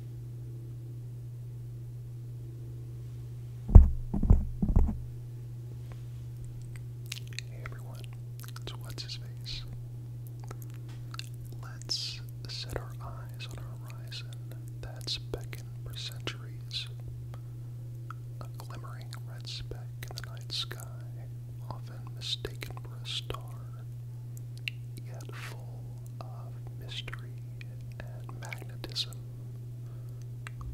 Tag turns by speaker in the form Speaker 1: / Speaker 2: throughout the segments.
Speaker 1: Hey everyone, it's What's His Face. Let's set our eyes on a horizon that's beckoned for centuries. A glimmering red speck in the night sky, often mistaken for a star, yet full of mystery and magnetism,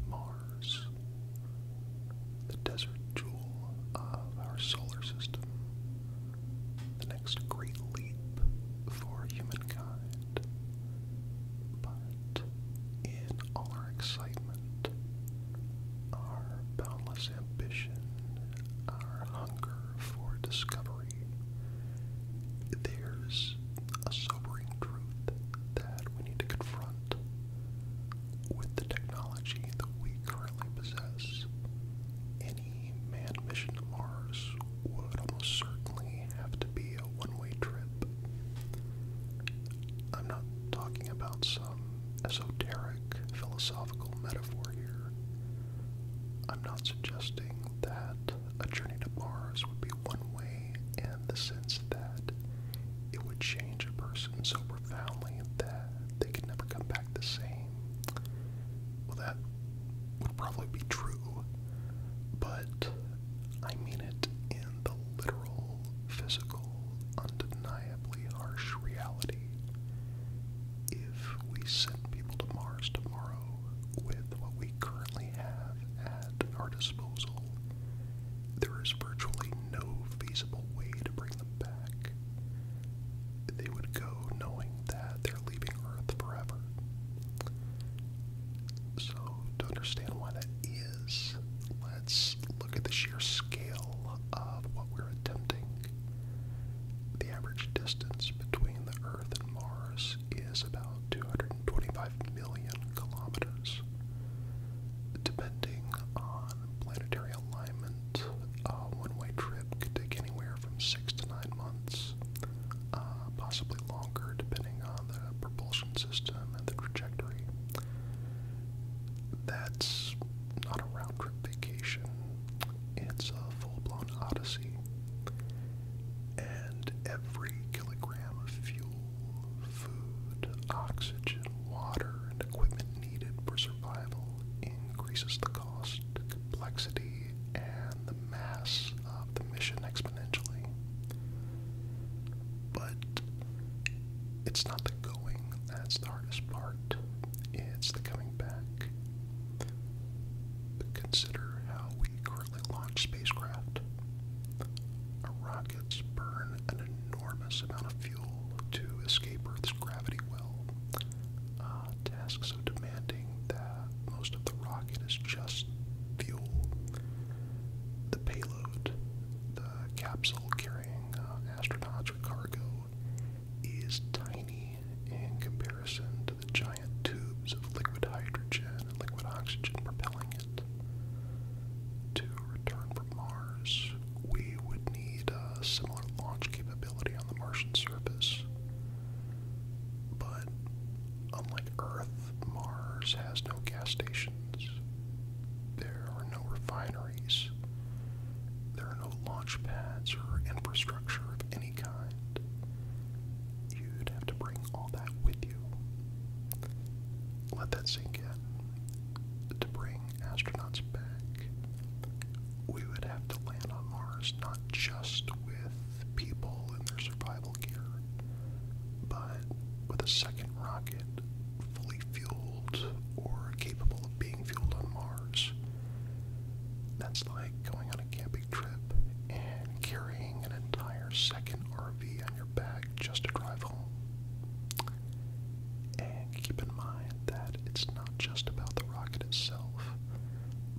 Speaker 1: Mars, the desert jewel of our solar system, the next great leap for humankind. But in all our excitement, our boundless ambition, our hunger for discovery, there's a sobering truth that we need to confront with the technology that we currently possess. Any manned mission to Mars would almost certainly have to be a one way trip. I'm not talking about some esoteric philosophical metaphor here. I'm not suggesting that a journey to Mars would be one way in the sense that it would change a person so profoundly that they could never come back the same. Well, that would probably be true, but I mean it in the literal, physical, undeniably harsh reality if we send people to Mars tomorrow with what we currently have at our disposal, there is virtually no feasible way to bring them back. They would go knowing that they're leaving Earth forever. So, to understand why that is, let's look at the sheer scale of what we're attempting. The average distance between the Earth Earth and Mars is about 225 million kilometers. Depending on planetary alignment, a uh, one way trip could take anywhere from six to nine months, uh, possibly longer depending on the propulsion system and the trajectory. That's not a round trip vacation. It's a full-blown odyssey. And every kilogram of fuel, food, oxygen, water, and equipment needed for survival increases the cost, complexity, and the mass of the mission exponentially. But it's not the going that's the hardest part, it's the coming back consider how we currently launch spacecraft. rockets burn an enormous amount of fuel to escape Earth's gravity well. Uh, tasks so demanding that most of the rocket is just fuel. The payload, the capsule carrying uh, astronauts with cargo, is tiny in comparison to the giant tubes of liquid hydrogen and liquid oxygen propelling it. To return from Mars, we would need a similar launch capability on the Martian surface. But unlike Earth, Mars has no gas stations. There are no refineries. There are no launch pads or infrastructure of any kind. You'd have to bring all that with you. Let that sink in. To bring astronauts back, we would have to land on Mars not just with people in their survival gear, but with a second rocket fully fueled or capable of being fueled on Mars that's like going on a camping trip and carrying an entire second RV on your back just to drive home. And keep in mind that it's not just about the rocket itself,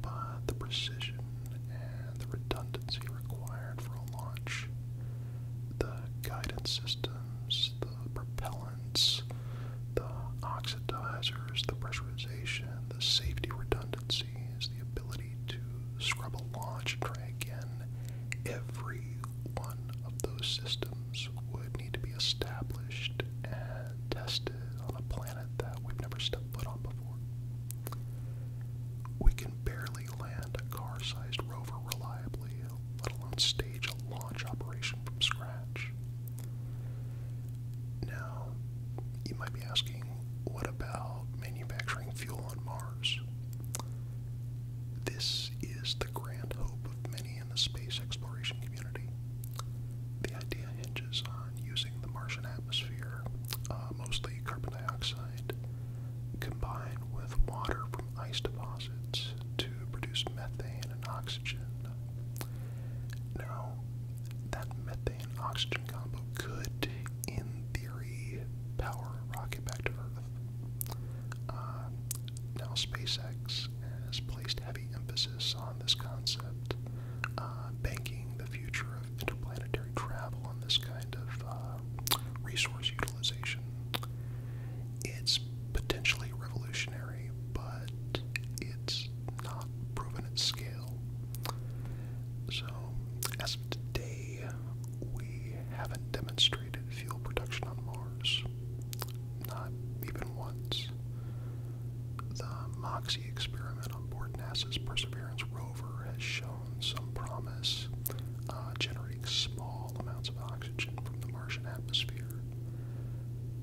Speaker 1: but the precision and the redundancy required for a launch, the guidance systems, the propellant the oxidizers, the pressurization, the safety redundancy—is the ability to scrub a launch and try again. Every one of those systems would need to be established and tested on a planet that we've never stepped foot on before. We can barely land a car sized rover reliably, let alone stage a launch operation from scratch. Now, you might be asking, what about manufacturing fuel on Mars? This is the grand hope of many in the space exploration community. The idea hinges on using the Martian atmosphere, uh, mostly carbon dioxide, combined with water from ice deposits to produce methane and oxygen now, that methane oxygen combo could, in theory, power a rocket back to Earth. Uh, now, SpaceX has placed heavy emphasis on this concept, uh, banking the future of interplanetary travel on this kind of uh, resource utilization. It's potentially revolutionary, but it's not proven at scale. So, as of today, we haven't demonstrated fuel production on Mars. Not even once. The MOXIE experiment on board NASA's Perseverance rover has shown some promise, uh, generating small amounts of oxygen from the Martian atmosphere.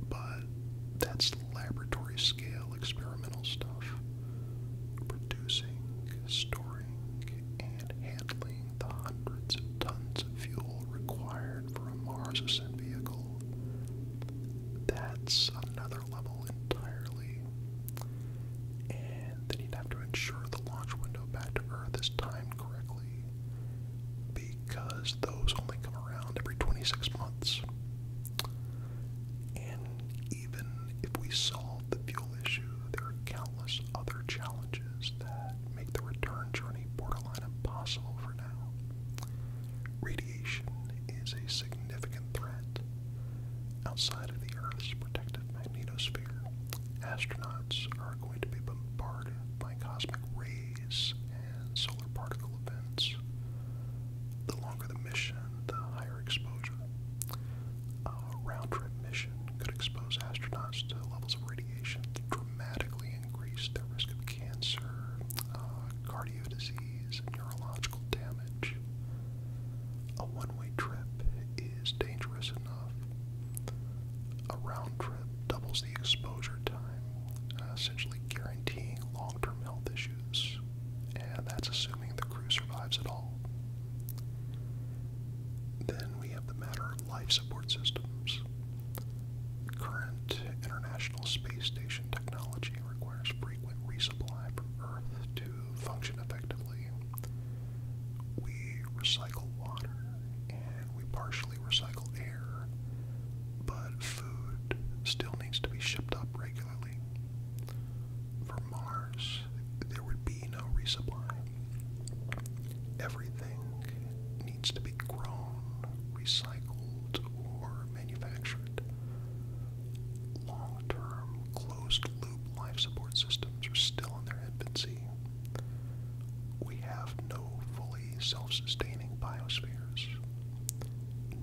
Speaker 1: But that's laboratory scale experimental stuff. Producing, storing, and handling the hundreds of tons of fuel required for a Mars ascent vehicle. That's another level entirely. And then you'd have to ensure the launch window back to Earth is timed correctly because those only come around every 26 months. And even if we solve the fuel issue, there are countless other challenges that make the return journey borderline impossible for now. Radiation is a significant threat. Outside of the Earth's protective magnetosphere, astronauts are going to be bombarded by cosmic rays solar particle events. The longer the mission, the higher exposure. A round trip mission could expose astronauts to levels of radiation that dramatically increase their risk of cancer, uh, cardio disease, neurological damage. A one way trip is dangerous enough. A round trip doubles the exposure time, uh, essentially guaranteeing long term health issues, and that's assuming the crew survives at all. Then we have the matter of life support systems. Current International Space Station technology requires frequent resupply from Earth to function effectively. We recycle water and we partially recycle air but food still needs to be shipped up regularly. For Mars, there would be no resupply. Everything needs to be grown, recycled, or manufactured. Long term, closed loop life support systems are still in their infancy, we have no fully self-sustaining biospheres,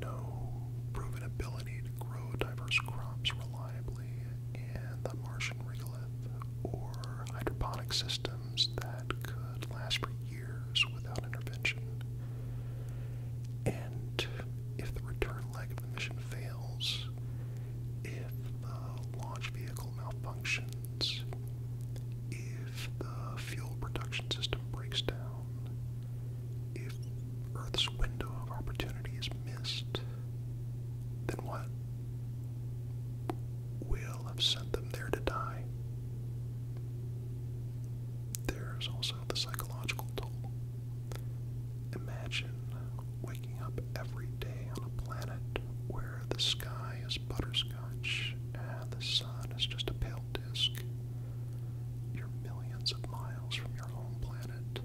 Speaker 1: no proven ability to grow diverse crops reliably in the Martian regolith, or hydroponic systems that could last for years without intervention. And if the return leg of the mission fails, if the launch vehicle malfunctions, if if the fuel production system breaks down, if Earth's window of opportunity is missed, then what? We'll have sent them there to die. There's also the psychological toll. Imagine waking up every day on a planet where the sky is butterscotch, and the sun is just a pale disk. You're millions of miles from your home planet,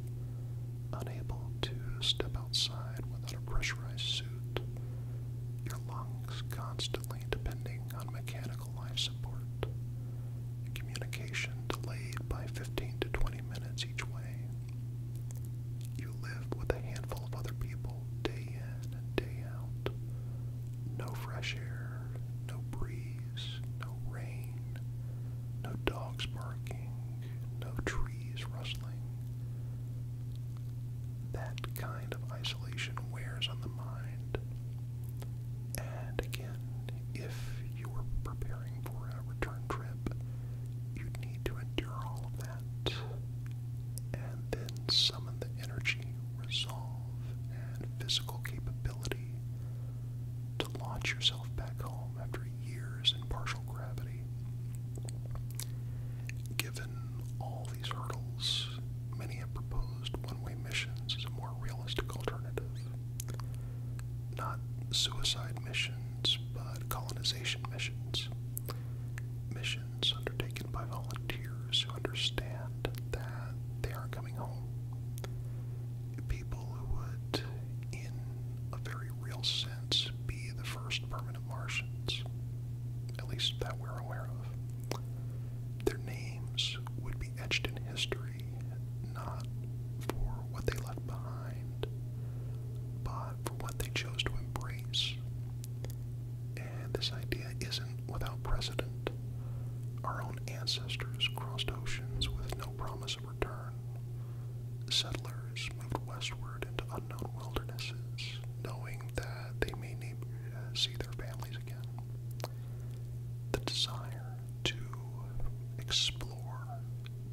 Speaker 1: unable to step outside without a pressurized suit, your lungs constantly depending on mechanical life support, communication delayed by 15 to 20 minutes each way. You live with a handful of other people day in and day out. No fresh air, no breeze, no rain, no dogs barking, no trees rustling. That kind of isolation wears on the mind. And again, if you were preparing for a return trip, you need to endure all of and then summon the energy, resolve, and physical capability to launch yourself back home after years in partial gravity. Given all these hurdles, many have proposed one way missions as a more realistic alternative. Not suicide missions, but colonization missions. Missions undertaken by volunteers who understand that they are coming home. People who would, in a very real sense, be the first permanent Martians, at least that we're aware of. Their names would be etched in history, not for what they left behind, but for what they chose to embrace and this idea isn't without precedent. Our own ancestors crossed oceans with no promise of return. Settlers moved westward into unknown wildernesses, knowing that they may need, uh, see their families again. The desire to explore,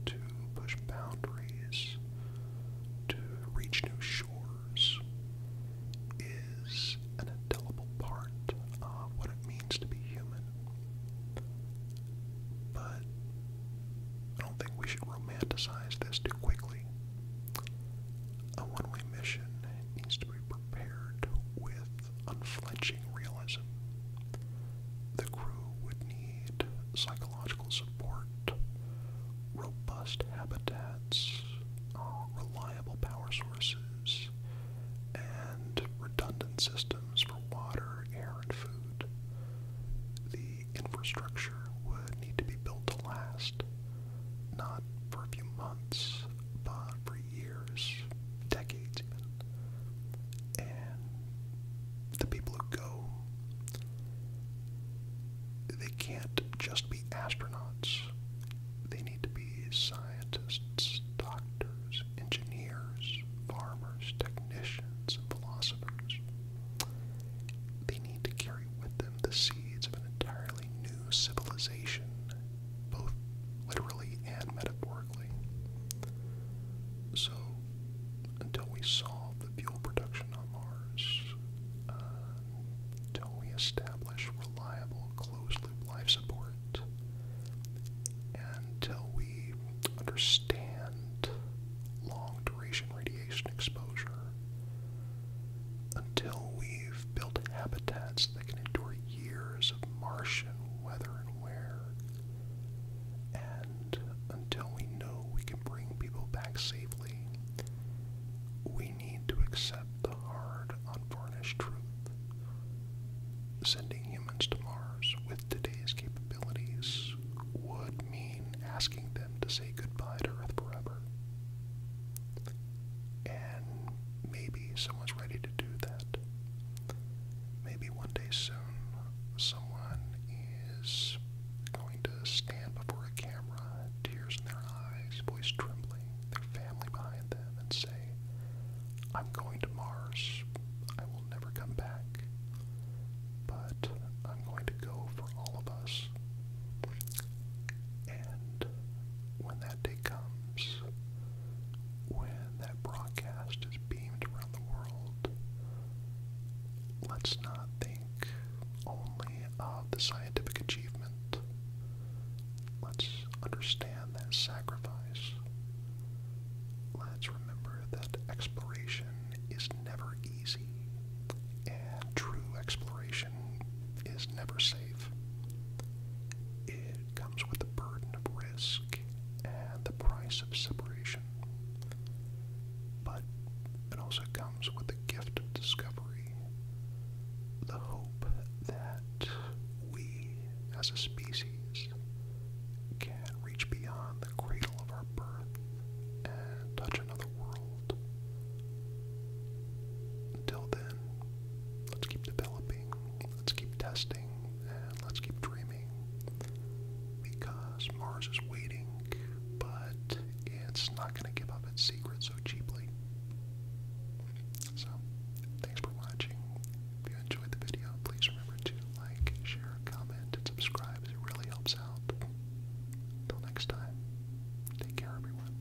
Speaker 1: to push boundaries, to reach new shores is an indelible part of what it means to be human. But I don't think we should romanticize this too quickly. A one way mission needs to be prepared with unflinching realism. The crew would need psychological support robust habitats, uh, reliable power sources, and redundant systems for water, air, and food. The infrastructure would need to be built to last, not for a few months, but for years, decades And the people who go they can't just be astronauts. They need to be scientists, doctors, engineers, farmers, technicians, and philosophers. They need to carry with them the seeds of an entirely new civilization, both literally and metaphorically. So, until we solve the fuel production on Mars, uh, until we establish reliable closed-loop life support, until we understand long-duration radiation exposure, until we've built habitats that can endure years of Martian weather and wear, until we know we can bring people back safely, we need to accept the hard, unvarnished truth. Sending humans to Mars with today's capabilities would mean asking them to say goodbye to Earth forever. And maybe someone's ready to do that. Maybe one day soon someone is going to stand before a camera, tears in their eyes, voice trembling, their family behind them, and say, I'm going to Mars. I will never come back. But I'm going to go for all of us. And when that day comes, when that broadcast is beamed around the world, let's not think only of uh, the scientific achievement. Let's understand that sacrifice. Let's remember that exploration is never easy, and true exploration is never safe. It comes with the burden of risk and the price of separation but it also comes with the gift of discovery, the hope that we as a species can reach beyond the cradle of our birth and touch another world. Until then, let's keep developing, let's keep testing, and let's keep dreaming because Mars is waiting, but it's not going to give up its secret so cheaply. So, thanks for watching. If you enjoyed the video, please remember to like, share, comment, and subscribe. It really helps out. Until next time, take care, everyone.